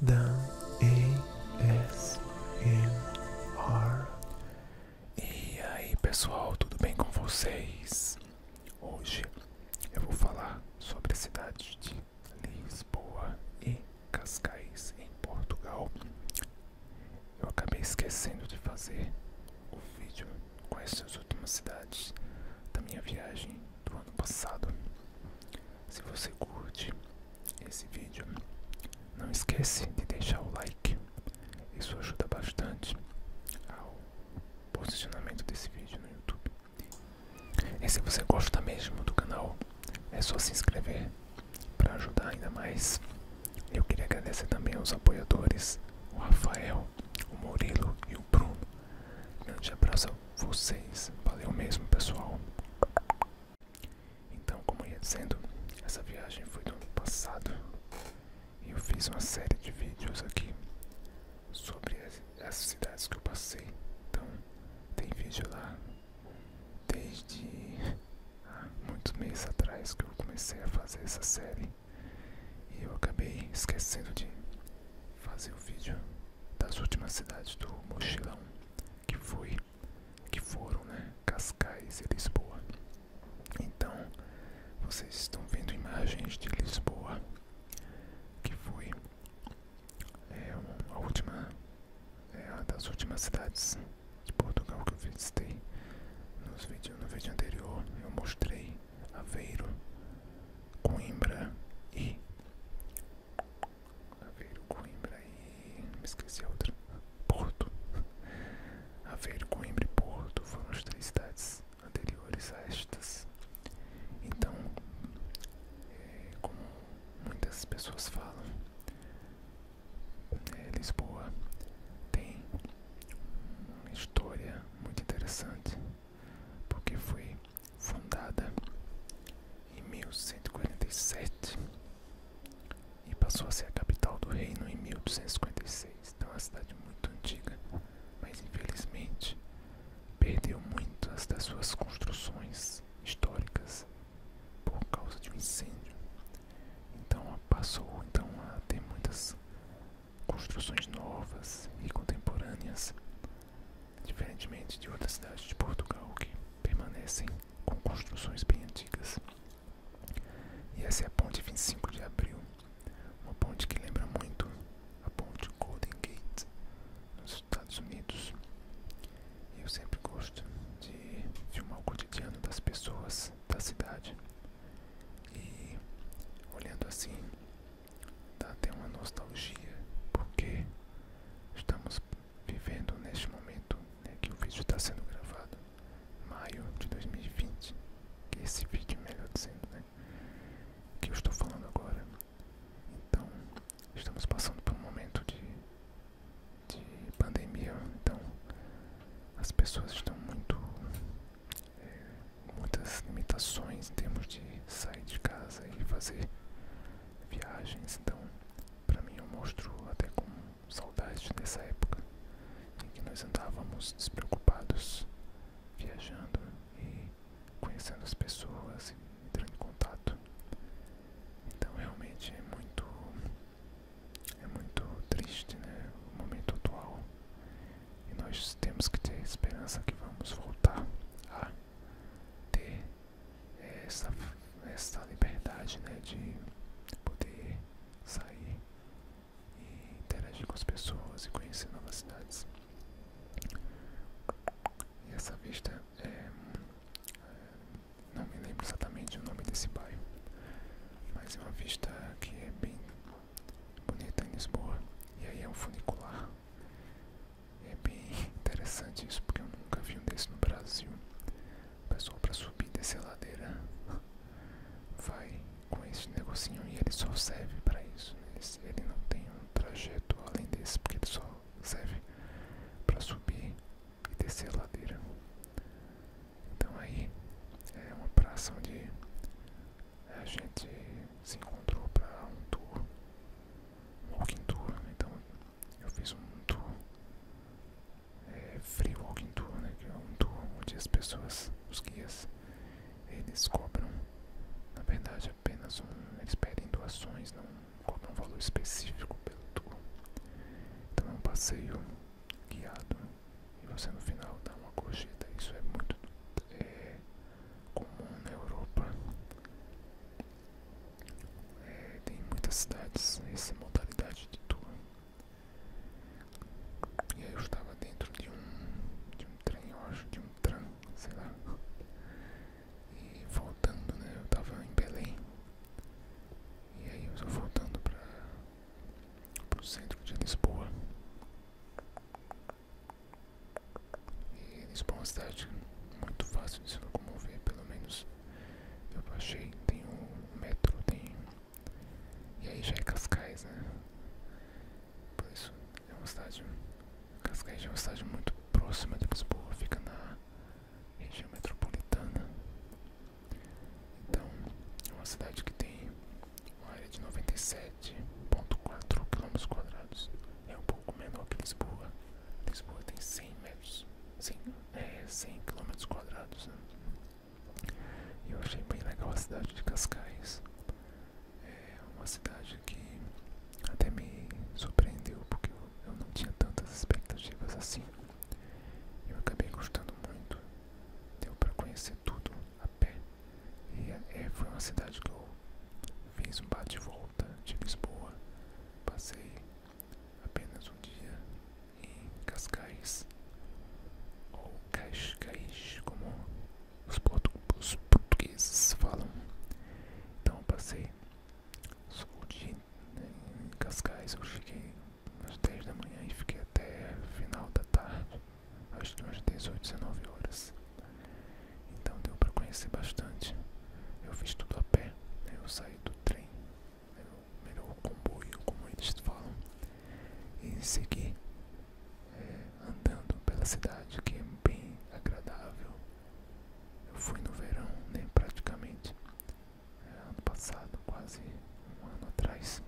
Dan ASMR E aí pessoal, tudo bem com vocês? Hoje eu vou falar sobre a cidade de Lisboa e Cascais em Portugal Eu acabei esquecendo de fazer o vídeo com essas últimas cidades da minha viagem do ano passado. Se você curte esse vídeo, não esquece de deixar o like. Isso ajuda bastante ao posicionamento desse vídeo no YouTube. E se você gosta mesmo do canal, é só se inscrever para ajudar ainda mais. Eu queria agradecer também aos apoiadores, o Rafael, o Murilo e o Bruno. Grande abraço a vocês. Valeu mesmo, pessoal. Então, como ia dizendo, essa viagem foi do ano passado e eu fiz uma série de vídeos aqui sobre essas cidades que eu passei. Então, tem vídeo lá desde muitos meses atrás que eu comecei a fazer essa série e eu acabei esquecendo de fazer o vídeo das últimas cidades do mochilão que foi que foram, né, Cascais e Lisboa. Então, vocês estão vendo imagens de Lisboa, que foi é, a última é, das últimas cidades de Portugal que eu visitei. Nos vídeo, no vídeo anterior, eu mostrei Aveiro, Coimbra e Aveiro, Coimbra e... me esqueci a outra. Porto. Aveiro, Coimbra e Porto foram as três cidades anteriores a estas. Então, é, como muitas pessoas falam, né, Lisboa tem uma história muito interessante, porque foi fundada em 1147 e passou a ser a capital do reino em 1256. Então é uma cidade muito antiga, mas infelizmente perdeu muitas das suas construções históricas por causa de um incêndio. Então passou então a ter muitas construções novas e contemporâneas, diferentemente de outras cidades de Portugal que permanecem com construções bem antigas. E essa é a ponte 25 de abril, uma ponte que lembra muito a ponte Golden Gate nos Estados Unidos. eu sempre gosto de filmar o cotidiano das pessoas da cidade. E olhando assim, dá até uma nostalgia, porque estamos vivendo neste momento né, que o vídeo está sendo gravado, maio de 2020, que esse vídeo, é melhor dizendo, né, que eu estou falando agora. Então, estamos passando por um momento de, de pandemia, então as pessoas estão muito. É, muitas limitações em termos de sair de casa e fazer viagens, então para mim, eu é mostro até com saudade dessa época em que nós andávamos despreocupados, viajando e conhecendo as pessoas e entrando em contato. Então, realmente é muito, é muito triste né, o momento atual e nós temos que ter esperança que vamos voltar a ter essa, essa liberdade né, de poder sair e interagir com as pessoas e conhecer novas cidades. E essa vista é, é, não me lembro exatamente o nome desse bairro, mas é uma vista que é bem bonita em Lisboa. E aí é um funicular é bem interessante isso, porque eu nunca vi um desse no Brasil. pessoal para subir dessa ladeira vai com esse negocinho e ele só serve para isso. Né? Ele, não tem um trajeto além desse, porque ele só serve para subir e descer a ladeira. Então aí é uma praça onde a gente se encontrou para um tour, um walking tour, né? então eu fiz um tour, é, free walking tour, né, que é um tour onde as pessoas, os guias, eles cobram, na verdade, apenas um, eles pedem doações, não cobram um valor específico pelo tour. Então é um passeio guiado e você no final dá uma corrida, isso é muito é, comum na Europa. Tem muitas cidades essa modalidade de tour. E aí eu estava dentro de um, de um trem, acho, de um tram, sei lá. E voltando, né? Eu estava em Belém. E aí eu estava voltando para o centro de Lisboa. E Lisboa é uma cidade muito fácil de se locomover, pelo menos eu baixei, tem um metro, tem. E aí já é Cascais, né? Por isso é um estádio Cascais é uma cidade muito próxima de Lisboa, fica na região metropolitana. Então, é uma cidade que tem uma área de 97,4 km. É um pouco menor que Lisboa, Lisboa tem 100 metros, 100, é, km quadrados. Né? Eu achei bem legal a cidade de Cascais. É uma cidade que até me surpreendeu porque eu, não tinha tantas expectativas assim. Eu acabei gostando muito. Deu para conhecer tudo a pé. E é, é, foi uma cidade que eu fiz um bate-volta de Lisboa. Passei apenas um dia em Cascais, ou Cascais, como os, portugueses falam. Então eu passei o dia em Cascais, eu fiquei às 10 da manhã e fiquei até final da tarde, acho que umas 18, 19 horas. Então deu para conhecer bastante. Eu fiz tudo a pé, né? eu saí do do trem, melhor comboio, como eles falam, e seguir eh, andando pela cidade, que é bem agradável. Eu fui no verão, né, praticamente, é, ano passado, quase um ano atrás.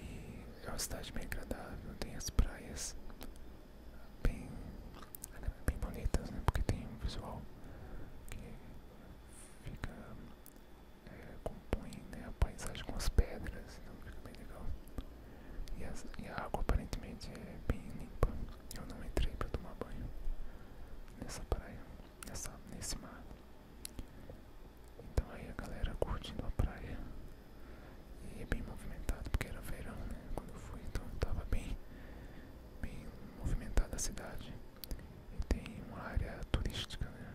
E é uma cidade bem agradável, tem as praias bem, bem bonitas, né? Porque tem um visual que fica é, compõe né, a paisagem com as pedras, então fica bem legal. E, a água aparentemente é bem limpa. Eu não entrei para tomar banho nessa praia, nessa, nesse mar. Então aí a galera curtindo a praia e é bem movimentado porque era verão né, quando eu fui, então tava bem bem movimentada a cidade e tem uma área turística, né?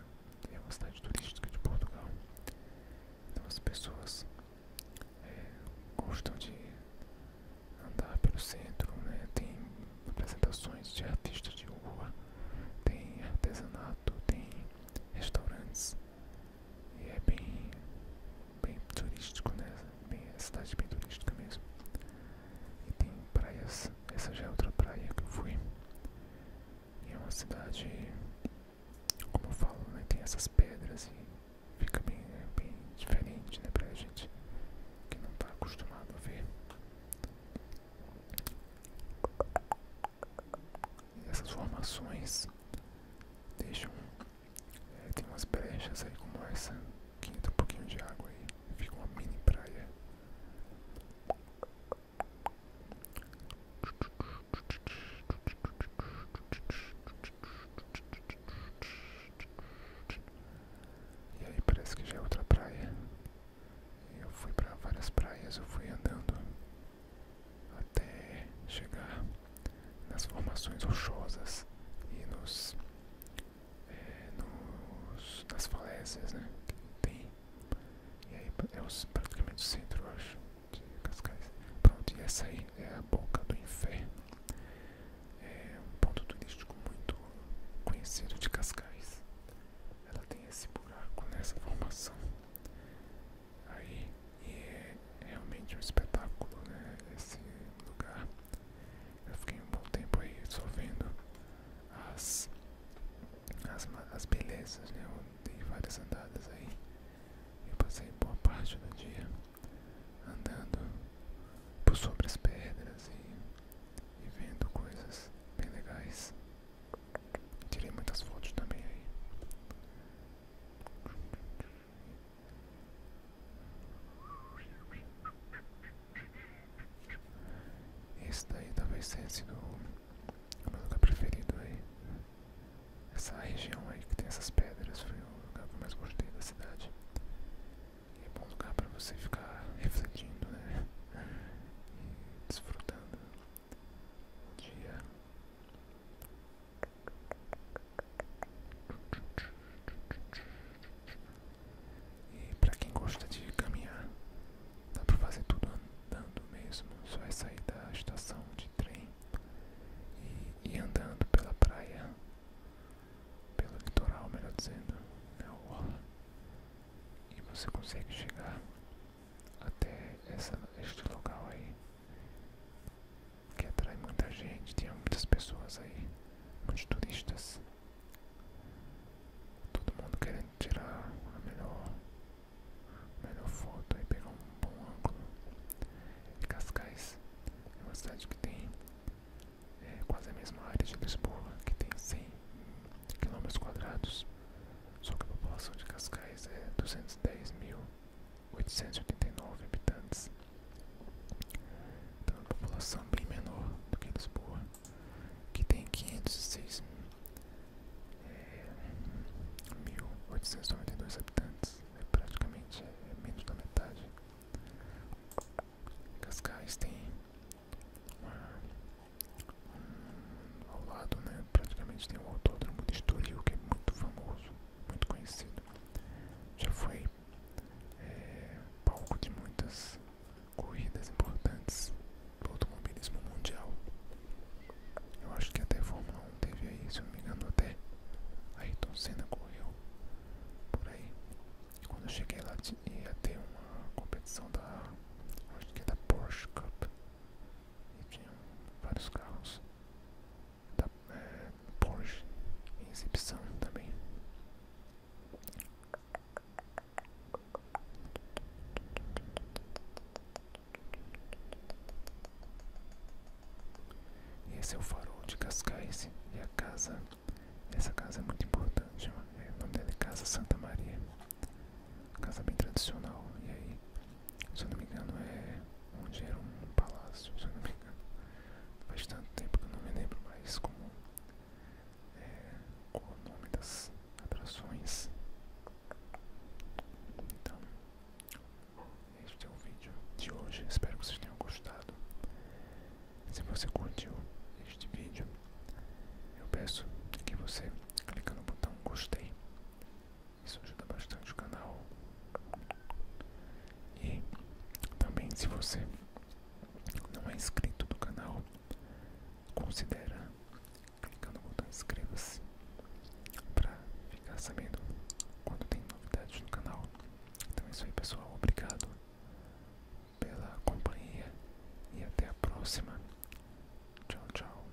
É uma cidade turística de Portugal. Então as pessoas é, gostam de andar pelo centro, né? Tem apresentações de artistas de rua, tem artesanato, tem restaurantes e é bem bem turístico, né? Bem, cidade bem turística mesmo. E tem praias, essa já é outra praia que eu fui. E é uma cidade, como eu falo, né? Tem essas pedras e fica bem, né? bem diferente, né? Pra gente que não tá acostumado a ver. E essas formações deixam é, tem umas brechas aí como essa, quinta um pouquinho de água aí, fica uma mini praia. E aí parece que já é outra praia. Eu fui para várias praias, eu fui andando até chegar nas formações rochosas e nos é, nos, nas falésias, né? Tem. E aí é os, praticamente o centro, eu acho, de Cascais. Pronto, e essa aí é a boca do inferno. É um ponto turístico muito conhecido de Cascais. Ela tem esse buraco nessa formação. Aí, e é realmente um espetáculo, né? Esse lugar. Eu fiquei um bom tempo aí só vendo as, as, as belezas, né? Eu dei várias andadas aí. Eu passei boa parte do dia andando por sobre as pedras e vendo coisas bem legais. Tirei muitas fotos também aí. Esse daí talvez tenha sido o meu lugar preferido aí. Essa região aí que tem essas pedras foi o lugar que eu mais gostei da cidade. E é bom lugar para você ficar refletindo, né? E desfrutando o dia. E para quem gosta de caminhar, dá para fazer tudo andando mesmo. Só é sair da estação de trem e ir andando pela praia, pelo litoral, melhor dizendo, né? orla. E você consegue chegar até essa, este local aí que atrai muita gente, tinha muitas pessoas aí, muitos turistas. Todo mundo querendo tirar a melhor, melhor foto e pegar um bom ângulo. E Cascais é uma cidade que tem é, quase a mesma área de Lisboa, que tem 100 km quadrados, só que a população de Cascais é 210.889 habitantes. Então, uma população bem menor do que Lisboa, que tem 506 é, 1.892 habitantes, é praticamente é menos da metade. Cascais tem um, ao lado, né, praticamente tem um autódromo de Estoril que é muito famoso, muito conhecido. Já foi é palco de muitas corridas importantes do automobilismo mundial. Eu acho que até a Fórmula 1 teve aí, se não me engano, até Ayrton Senna correu por aí. E quando eu cheguei lá, ia ter uma competição da, acho que é da Porsche Cup. E tinham vários carros da é, Porsche incepção também. Esse é o farol de Cascais e a casa. Essa casa é muito importante. É, o nome dela é Casa Santa Maria. Casa bem tradicional. E aí, se eu não me engano, é onde era um palácio tempo. Faz tanto tempo que eu não me lembro mais como é, o nome das atrações. Então, este é o vídeo de hoje. Espero que vocês tenham gostado. Se você curtiu este vídeo, eu peço que você clica no botão gostei. Isso ajuda bastante o canal. E também se você não é inscrito no canal, considera clicar no botão inscreva-se para ficar sabendo quando tem novidades no canal. Então é isso aí pessoal, obrigado pela companhia e até a próxima. Tchau, tchau.